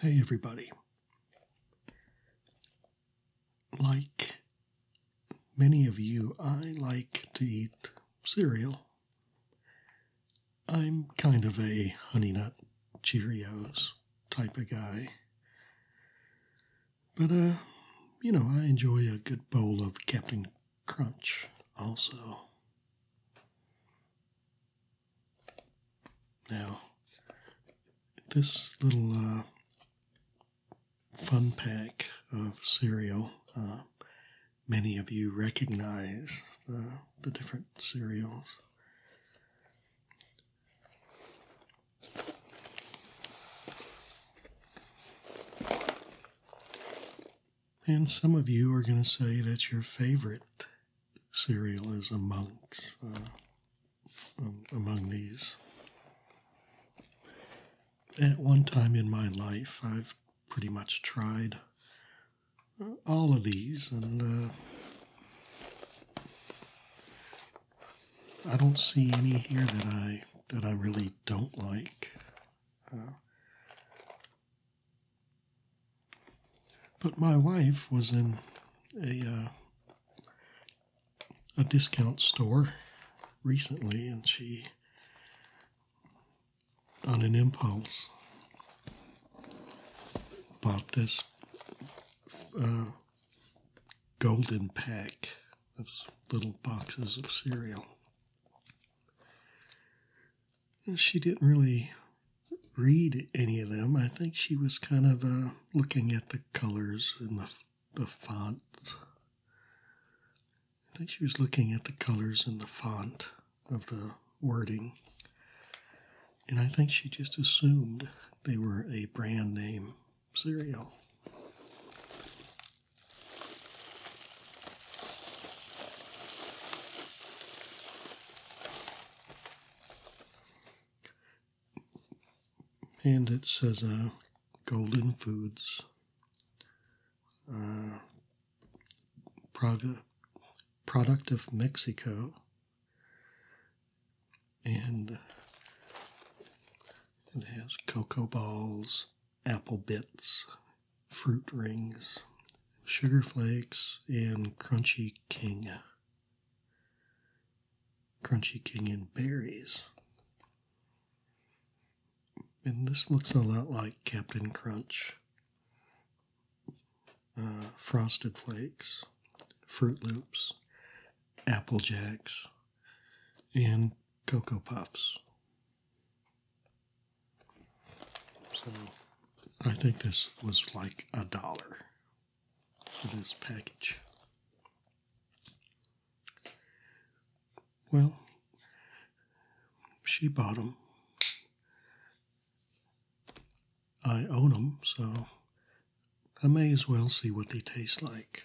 Hey, everybody. Like many of you, I like to eat cereal I'm kind of a Honey Nut Cheerios type of guy. But, uh, you know, I enjoy a good bowl of Captain Crunch also. Now, this little uh, fun pack of cereal uh, many of you recognize the, the different cereals. And some of you are going to say that your favorite cereal is amongst uh, um, among these. At one time in my life, I've pretty much tried all of these, and uh, I don't see any here that I that I really don't like. Uh, but my wife was in a uh, a discount store recently, and she on an impulse, bought this uh, golden pack of little boxes of cereal. And she didn't really read any of them. I think she was kind of uh, looking at the colors and the, the fonts. I think she was looking at the colors and the font of the wording. And I think she just assumed they were a brand name cereal. And it says uh, Golden Foods. Uh, Praga, product of Mexico. And it has cocoa balls, apple bits, fruit rings, sugar flakes, and crunchy king. Crunchy king and berries. And this looks a lot like Captain Crunch. Uh, frosted Flakes, Fruit Loops, Apple Jacks, and Cocoa Puffs. So I think this was like a dollar for this package. Well, she bought them. I own them, so I may as well see what they taste like.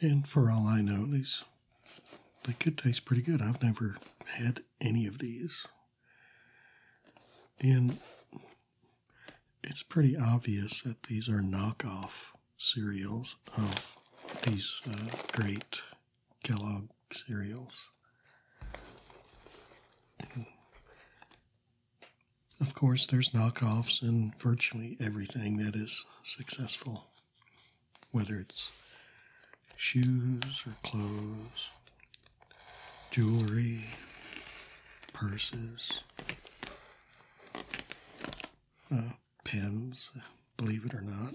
And for all I know, these they could taste pretty good. I've never had any of these. And it's pretty obvious that these are knockoff cereals of these uh, great Kellogg cereals. Of course, there's knockoffs in virtually everything that is successful, whether it's shoes or clothes, jewelry, purses, uh, pens, believe it or not.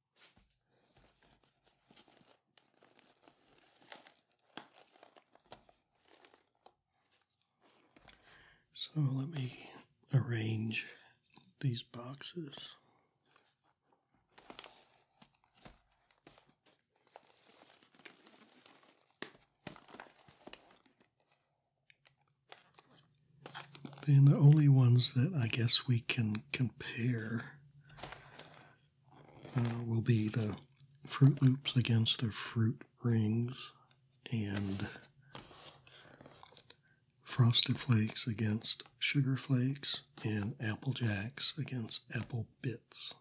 So let me arrange these boxes. Then the only ones that I guess we can compare uh, will be the Fruit Loops against the Fruit Rings and Frosted Flakes against Sugar Flakes and Apple Jacks against Apple Bits.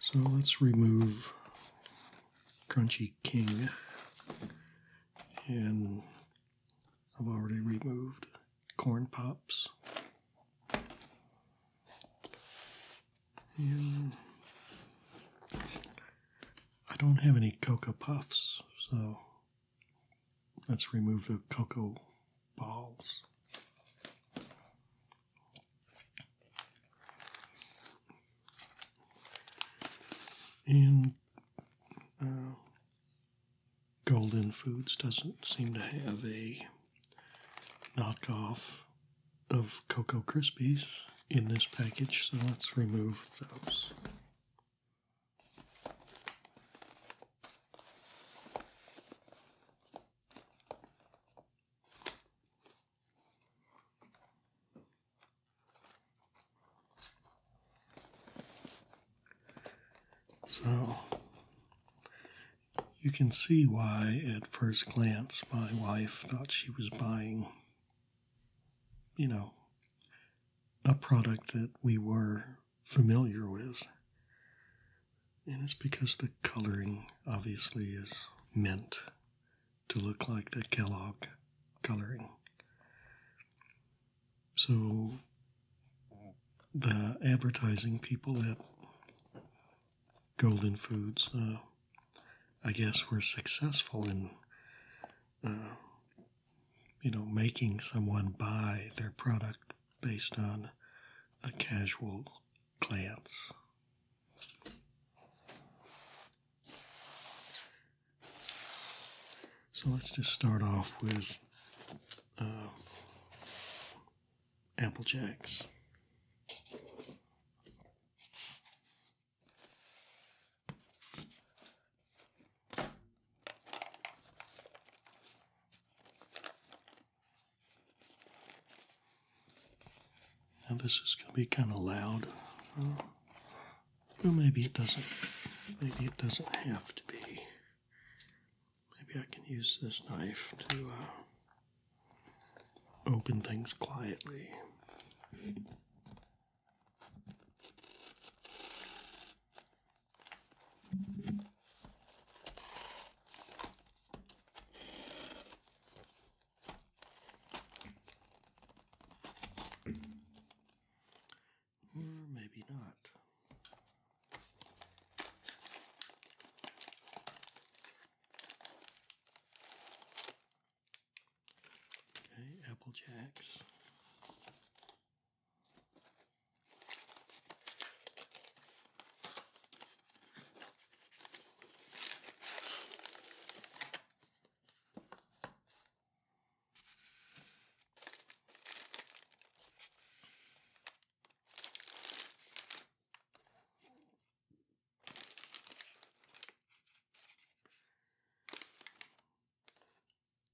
So let's remove Crunchy King and I've already removed corn pops. And I don't have any cocoa puffs, so let's remove the cocoa balls. And uh, Golden Foods doesn't seem to have a knockoff of Cocoa Krispies in this package, so let's remove those. So you can see why, at first glance, my wife thought she was buying, you know, a product that we were familiar with. And it's because the coloring obviously is meant to look like the Kellogg coloring. So the advertising people at Golden Foods, uh, I guess, were successful in, uh, you know, making someone buy their product based on a casual glance. So let's just start off with uh, Apple Jacks. Now this is going to be kind of loud. Uh, maybe it doesn't. Maybe it doesn't have to be. Maybe I can use this knife to uh, open things quietly or maybe not. Okay, Apple Jacks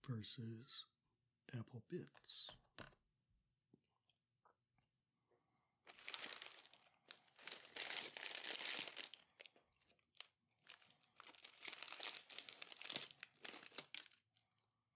versus apple bits.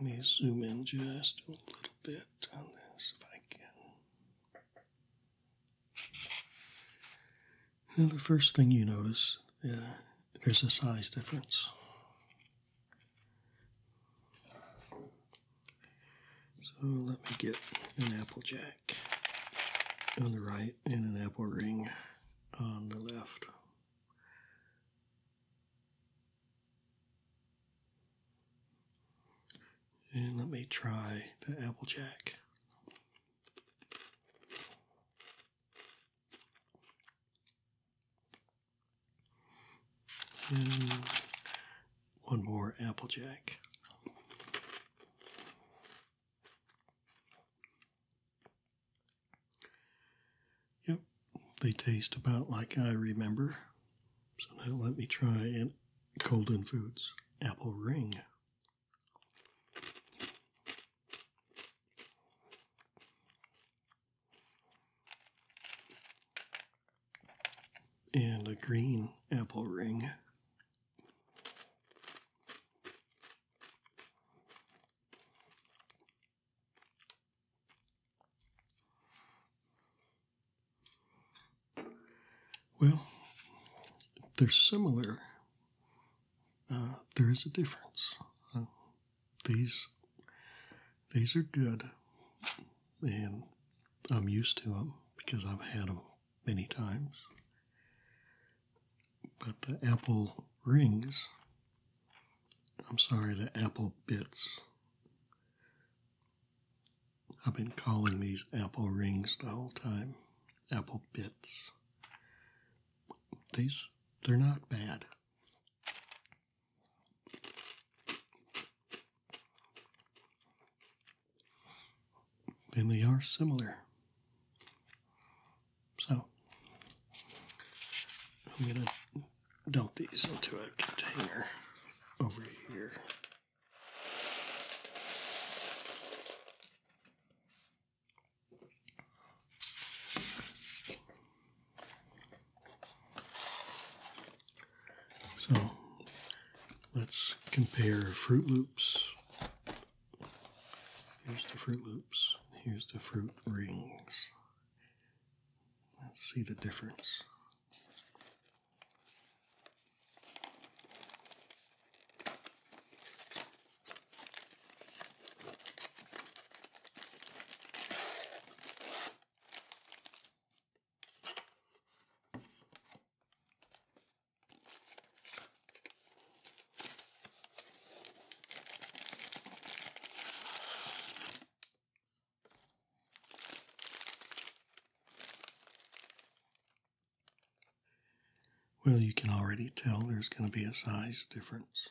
let me zoom in just a little bit on this if I can. Now, the first thing you notice, uh, there's a size difference. So let me get an Applejack on the right and an apple ring on the left. And let me try the Applejack. And one more Applejack. Yep, they taste about like I remember. So now let me try an Golden Foods Apple Ring and a green apple ring. Well, they're similar. Uh, there is a difference. Uh, these these are good, and I'm used to them because I've had them many times. But the apple rings, I'm sorry, the apple bits. I've been calling these apple rings the whole time, apple bits. These, they're not bad. And they are similar. So I'm going to dump these into a container over here. So let's compare Fruit Loops. Here's the Fruit Loops. Here's the Fruit Rings. Let's see the difference. Well, you can already tell there's going to be a size difference.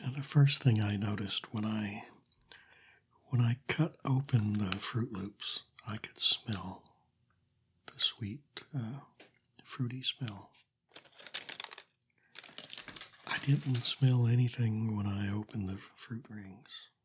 Now the first thing I noticed when I when I cut open the Fruit Loops, I could smell the sweet uh, fruity smell. I didn't smell anything when I opened the fruit rings.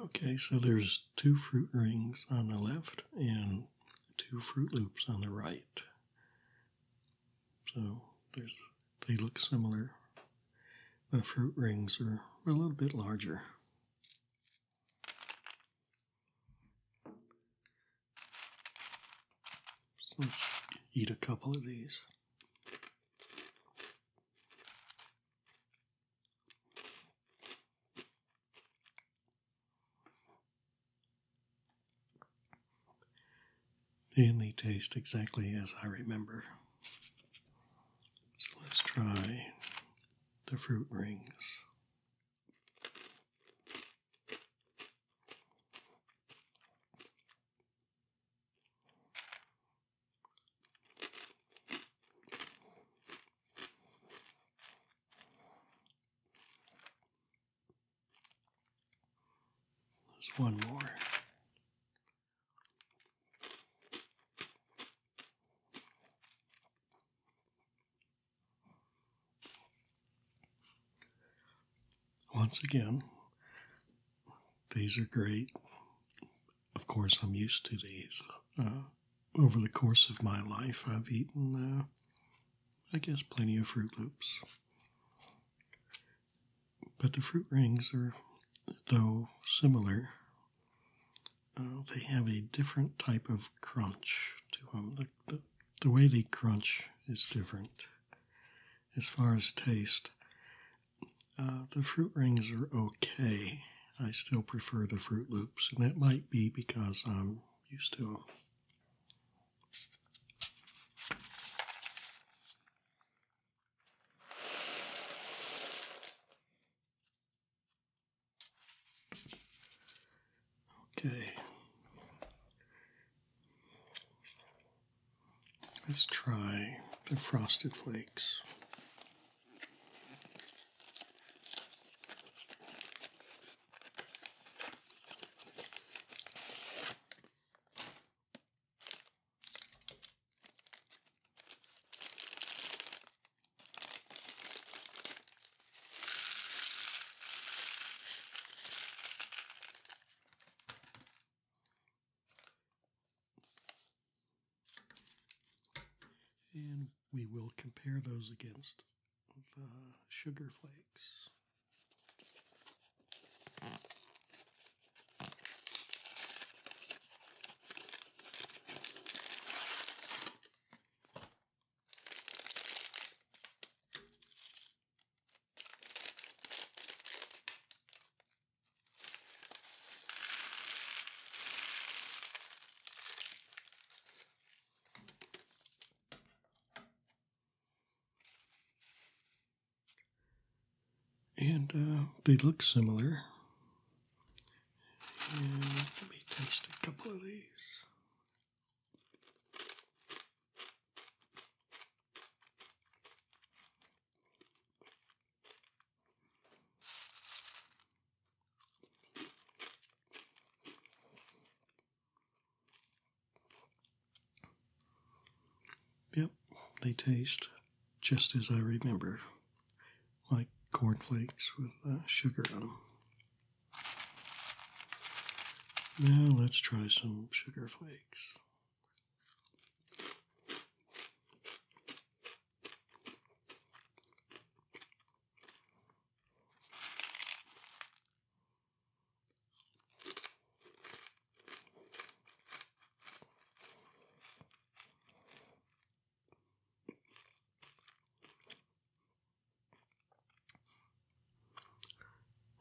Okay, so there's two fruit rings on the left and two fruit loops on the right. So there's they look similar. The fruit rings are a little bit larger. let's eat a couple of these. And they taste exactly as I remember. So let's try the fruit rings. There's one more. Once again, these are great of course, I'm used to these. Uh, over the course of my life, I've eaten, uh, I guess, plenty of Fruit Loops. But the fruit rings are, though similar, uh, they have a different type of crunch to them. the, the way they crunch is different. As far as taste, uh, the fruit rings are okay. I still prefer the Fruit Loops, and that might be because I'm used to them. Okay. Let's try the frosted flakes. And we will compare those against the sugar flakes. And uh, they look similar. let me taste a couple of these. Yep, they taste just as I remember, like cornflakes with uh, sugar on them. Now let's try some sugar flakes.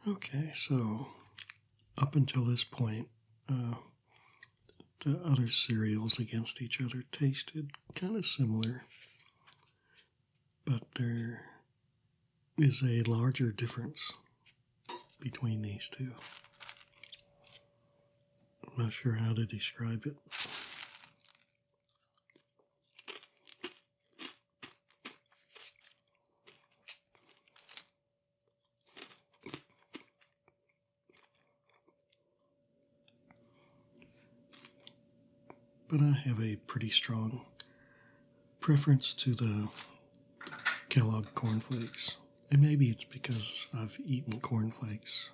Okay, so up until this point, uh, the other cereals against each other tasted kind of similar, but there is a larger difference between these two. I'm not sure how to describe it. But I have a pretty strong preference to the Kellogg Corn Flakes, And maybe it's because I've eaten Corn Flakes.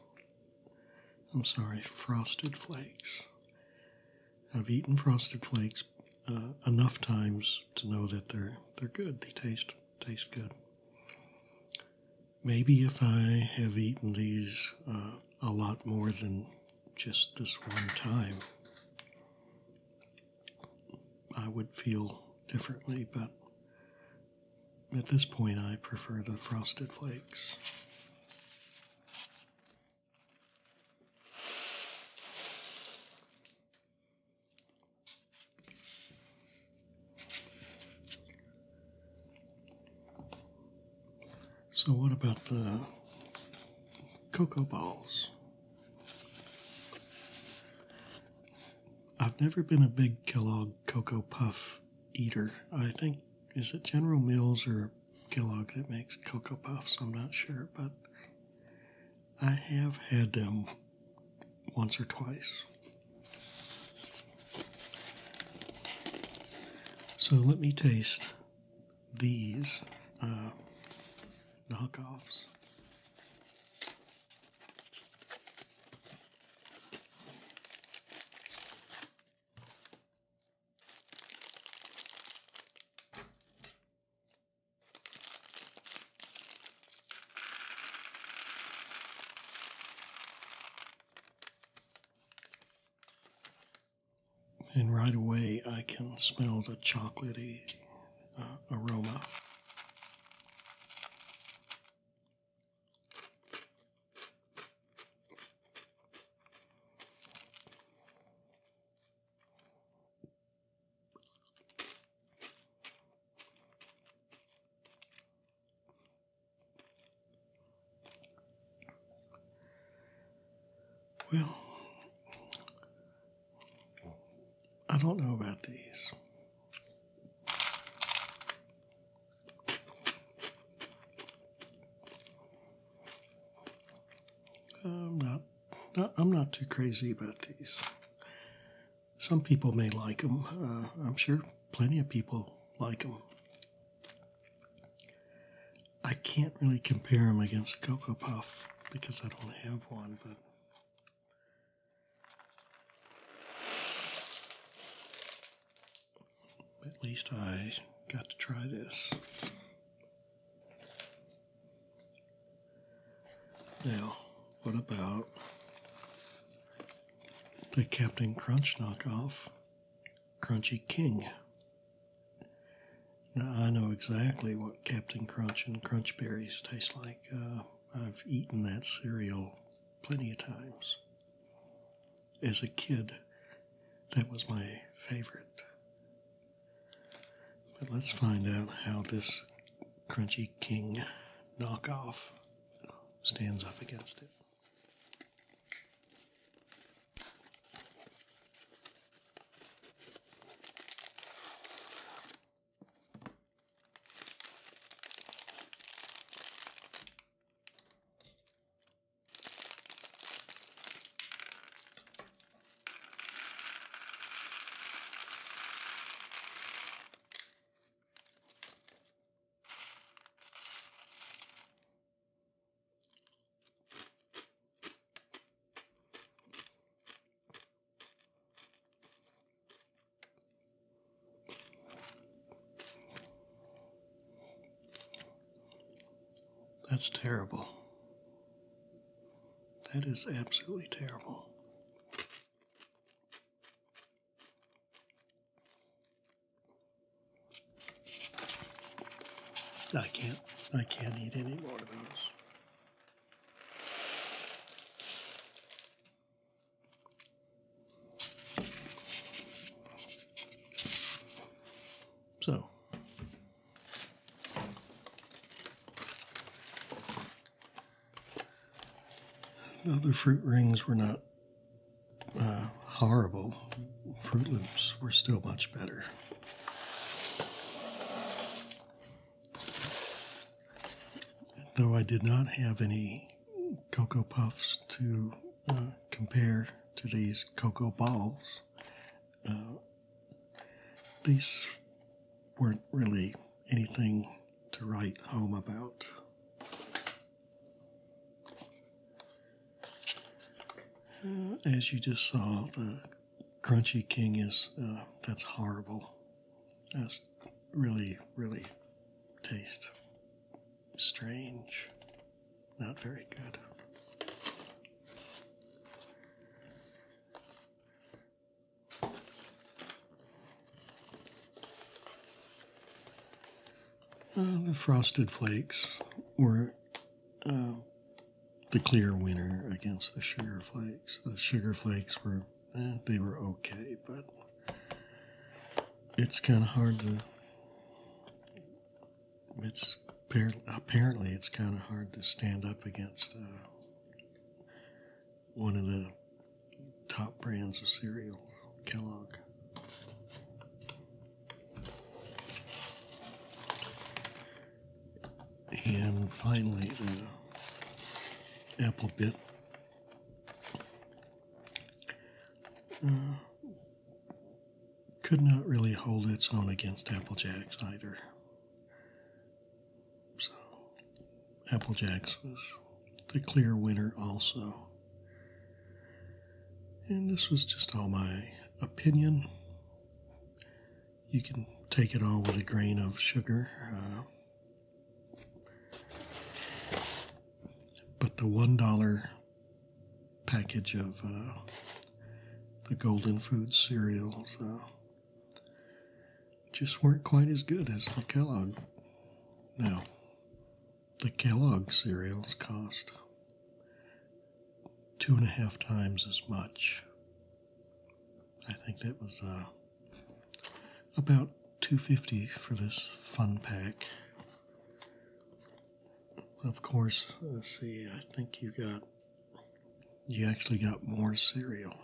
I'm sorry, frosted flakes. I've eaten frosted flakes uh, enough times to know that they're they're good. They taste taste good maybe if I have eaten these uh, a lot more than just this one time, I would feel differently, but at this point, I prefer the frosted flakes. So, what about the cocoa balls? I've never been a big Kellogg Cocoa Puff eater. I think, is it General Mills or Kellogg that makes Cocoa Puffs? I'm not sure, but I have had them once or twice. So let me taste these uh, knockoffs. And right away, I can smell the chocolatey uh, aroma. Well, I don't know about these. I'm not, I'm not too crazy about these. Some people may like them. Uh, I'm sure plenty of people like them. I can't really compare them against a Cocoa Puff because I don't have one, but. At least I got to try this. Now, what about the Captain Crunch knockoff, Crunchy King. Now, I know exactly what Captain Crunch and Crunch Berries taste like. Uh, I've eaten that cereal plenty of times. As a kid, that was my favorite. But let's find out how this Crunchy King knockoff stands up against it. That's terrible. That is absolutely terrible. I can't. I can't eat any more of those. So. Though The fruit rings were not uh, horrible. Fruit Loops were still much better. Though I did not have any Cocoa Puffs to uh, compare to these Cocoa Balls, uh, these weren't really anything to write home about. Uh, as you just saw, the crunchy king is uh, that's horrible. That's really, really taste strange. Not very good. Uh, the frosted flakes were uh, the clear winner against the sugar flakes. The sugar flakes were eh, they were okay, but it's kind of hard to. It's apparently it's kind of hard to stand up against uh, one of the top brands of cereal, Kellogg. And finally, the apple bit. Uh, could not really hold its own against Apple Jacks either. So, Apple Jacks was the clear winner also. And this was just all my opinion. You can take it all with a grain of sugar. Uh, but the $1 package of uh, the Golden Food cereals uh, just weren't quite as good as the Kellogg. Now, the Kellogg cereals cost two and a half times as much. I think that was uh, about 250 for this fun pack. Of course, let's see, I think you got, you actually got more cereal.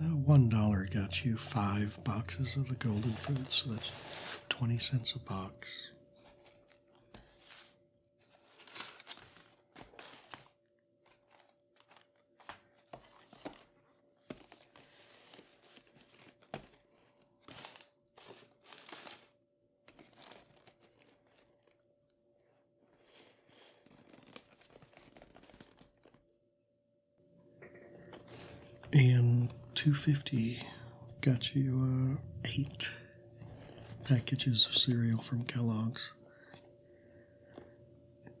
One, one dollar got you five boxes of the golden food, so that's twenty cents a box and 250 got you uh, eight packages of cereal from kellogg's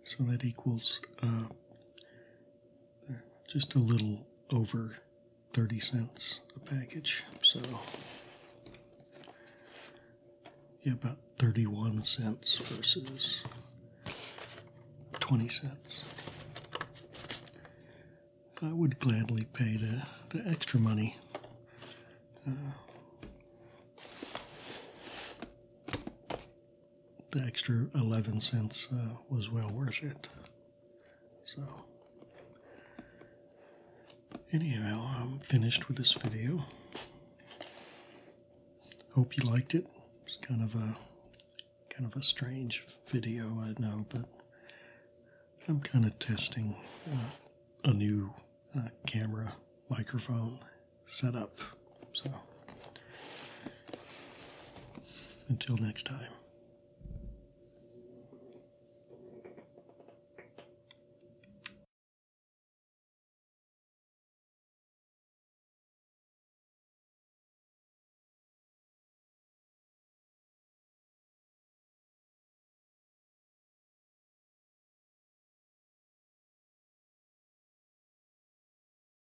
so that equals uh, just a little over 30 cents a package. So, yeah, about 31 cents versus 20 cents. I would gladly pay the, the extra money. Uh, the extra 11 cents uh, was well worth it. So, anyhow, I'm finished with this video. Hope you liked it. It's kind of a kind of a strange video, I know, but I'm kind of testing uh, a new uh, camera microphone setup. So, until next time.